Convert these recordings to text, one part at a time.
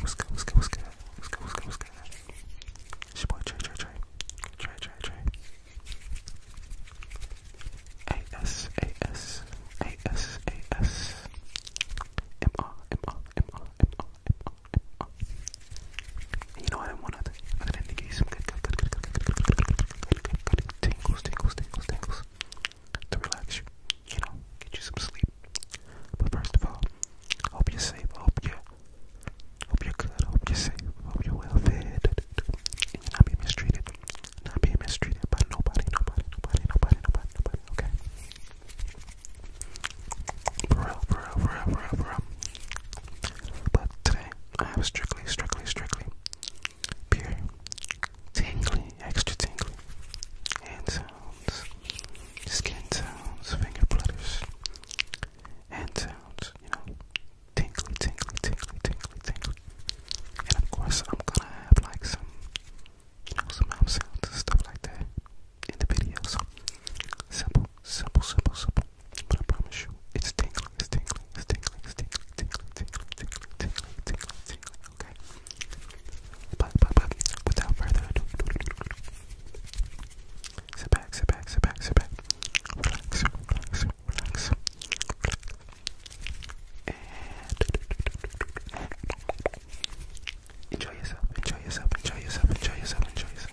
What's good, what's good, what's good, what's good, what's good, what's good? It's your boy Trey, Trey, Trey, Trey, Trey, Trey. A-S, A-S, A-S, A-S. M-R, M-R, M-R, M-R, M-R, M-R. you know what I want other, other than to give you some good, good, good, good, good, good, good, good, good, good, good, good, good tingles, tingles, tingles, tingles to relax you, you know, get you some sleep. But first of all, hope you're safe, hope you're, hope you're good, hope you're safe, hope you're well fed, and you're not being mistreated, not being mistreated by nobody, nobody, nobody, nobody, nobody, nobody, okay? For real, for real, for real, for real, for real. But today, I have strictly, strictly, strictly pure, tingly, extra tingly hand sounds, skin sounds, finger flutters, hand sounds, you know, tingly, tingly, tingly, tingly, tingly. And of course, I'm gonna have like some you know, some mouth sounds stuff like that in the video. So simple, simple, simple, simple. But I promise you, it's tingling, it's tingling, it's tingling, it's tingling, tingling, tingling, tingling, tingling, tingling, Okay. but without further ado, sit back, sit back, sit back, sit back. Relax, relax, relax. And Enjoy yourself, enjoy yourself, enjoy yourself, enjoy yourself, enjoy yourself.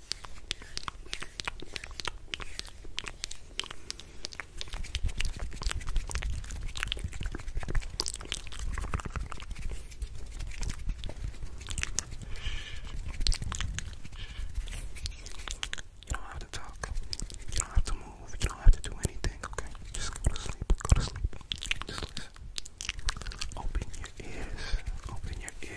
You don't have to talk. You don't have to move. You don't have to do anything, okay? Just go to sleep. Go to sleep. Just listen. Open your ears. Open your ears.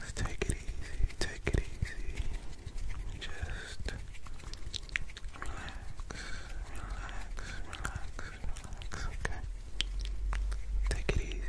Let's take it easy, take it easy. Just relax, relax, relax relax, okay? Take it easy. Relax.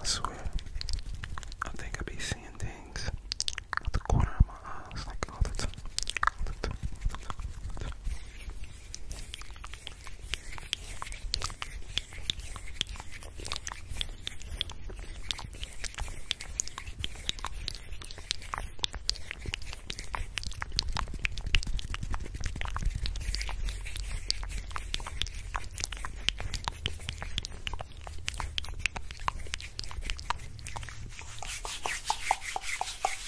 I swear, I think I be seeing things at the corner of uh, snack notes.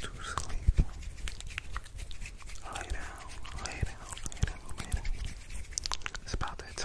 Go to sleep. Lay down, lay down, lay down, lay about that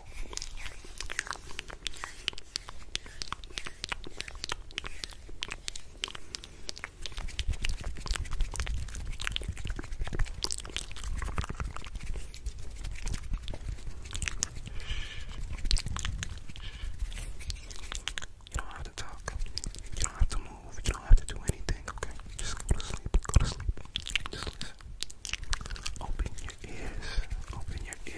You don't have to talk. You don't have to move. You don't have to do anything, okay? Just go to sleep. Go to sleep. Just listen. Open your ears. Open your ears.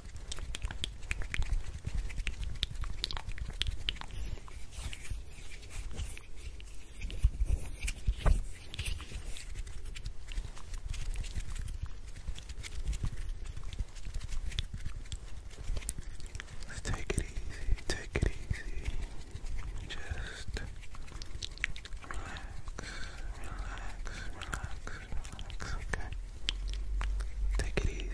Let's take it easy, take it easy. Just relax, relax, relax relax, okay? Take it easy. Relax.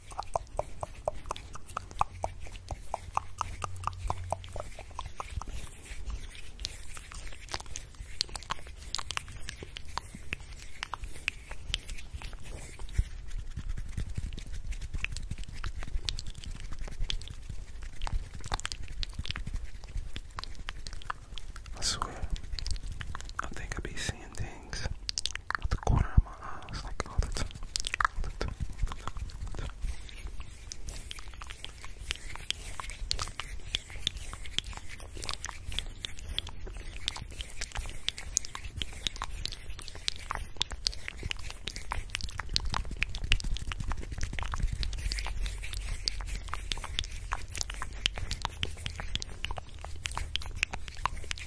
I swear, I think I be seeing things at the corner of my eyes, like all the time, all the time, all the time, all the time. All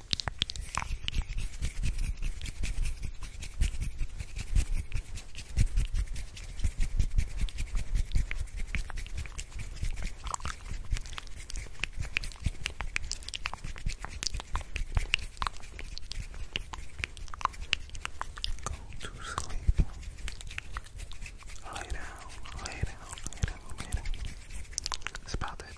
Go to sleep. Lay down, lay down, lay down, lay down. It's about that